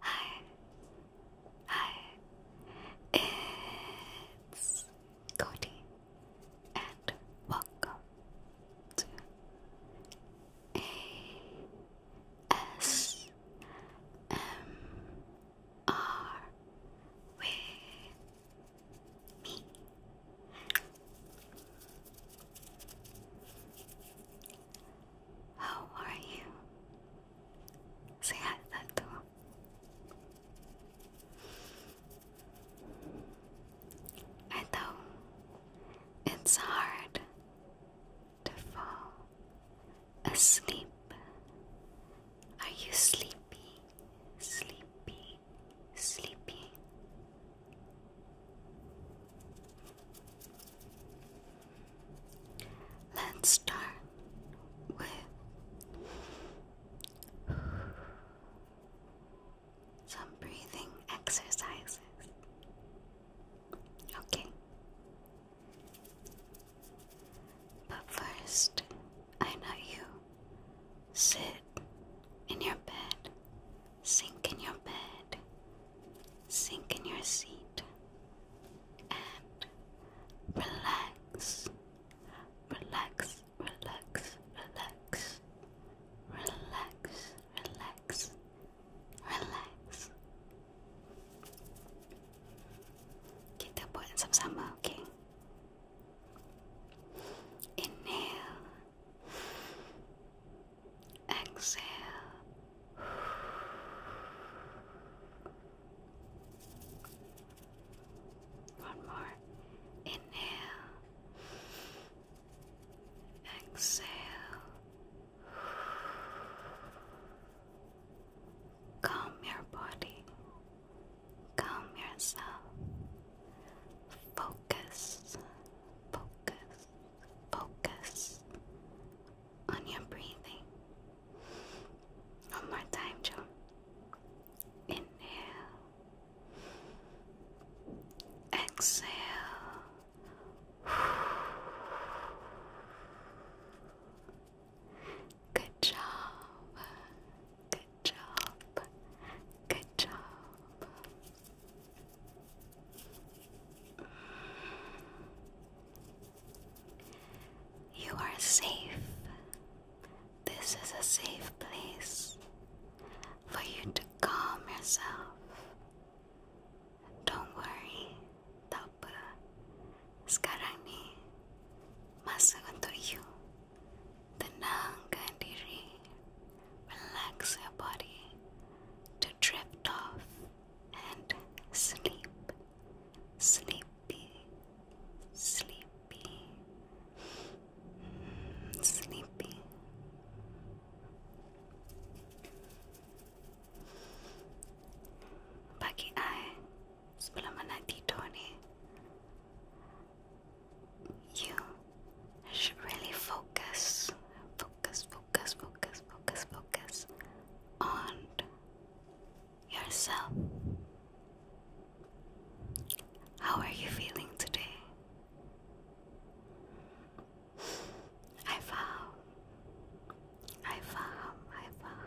Hi. Hi. It's Cody and welcome to ASMR how are you? Sehatato. I know it's hard to fall asleep. Are you sleepy? sleepy, sleepy, sleepy. Let's start with some breathing exercises. Okay. But first, I know you. Sit in your bed, sink in your bed, sink in your seat, and relax, relax, relax, relax, relax, relax, relax. Kita buat sama-sama, okay? Inhale. Exhale. One more. Inhale. Exhale. Calm your body. Calm yourself. Focus, focus, focus on your breathing. One more time, Joe. Inhale. Exhale. Good job. Good job. Good job. You are safe. This is a safe place for you to calm yourself. Don't worry, tak Sekarang ni masa untuk you Tenang kan diri, relax your body to drift off and sleep, sleepy, sleepy, mm, sleepy. Bagi I, Tapos wala man na dito ni. You should really focus, focus, focus, focus, focus, focus on yourself. How are you feeling today? I vow, I vow, I vow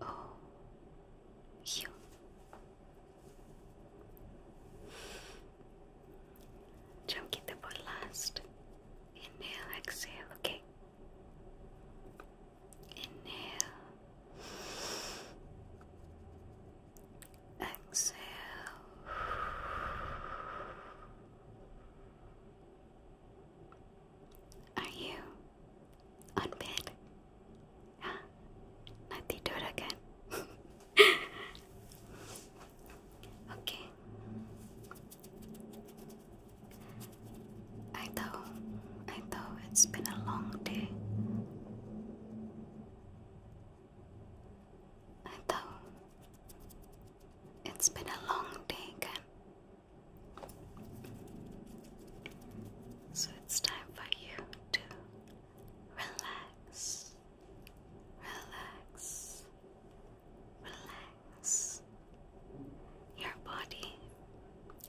Oh, you. Tranquila por last. Inhale, exhale, okay? Inhale. Exhale. Are you on bed? Huh? Nati Dora kan? okay. I know, I know it's been a long day. I know it's been a long day, kan? So it's time for you to relax, relax, relax your body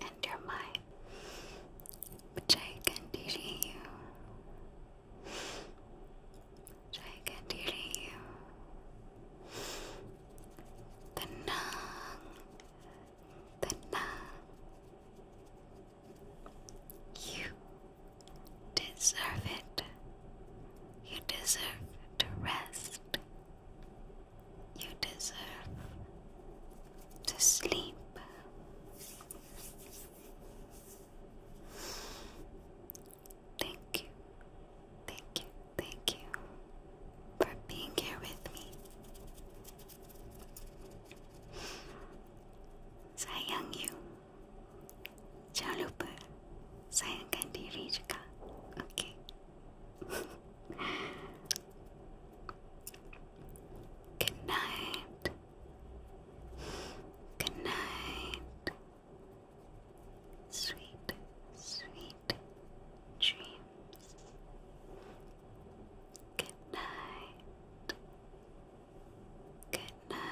and your mind, I can teaching you. I can teaching you tenang, tenang. You deserve it. You deserve to rest. You deserve to sleep. Thank you Thank you, thank you for being here with me. Sayang you. Jangan lupa sayangkan diri juga. Okay. Good night. Good night. Sweet, sweet dreams. Good night. Good night.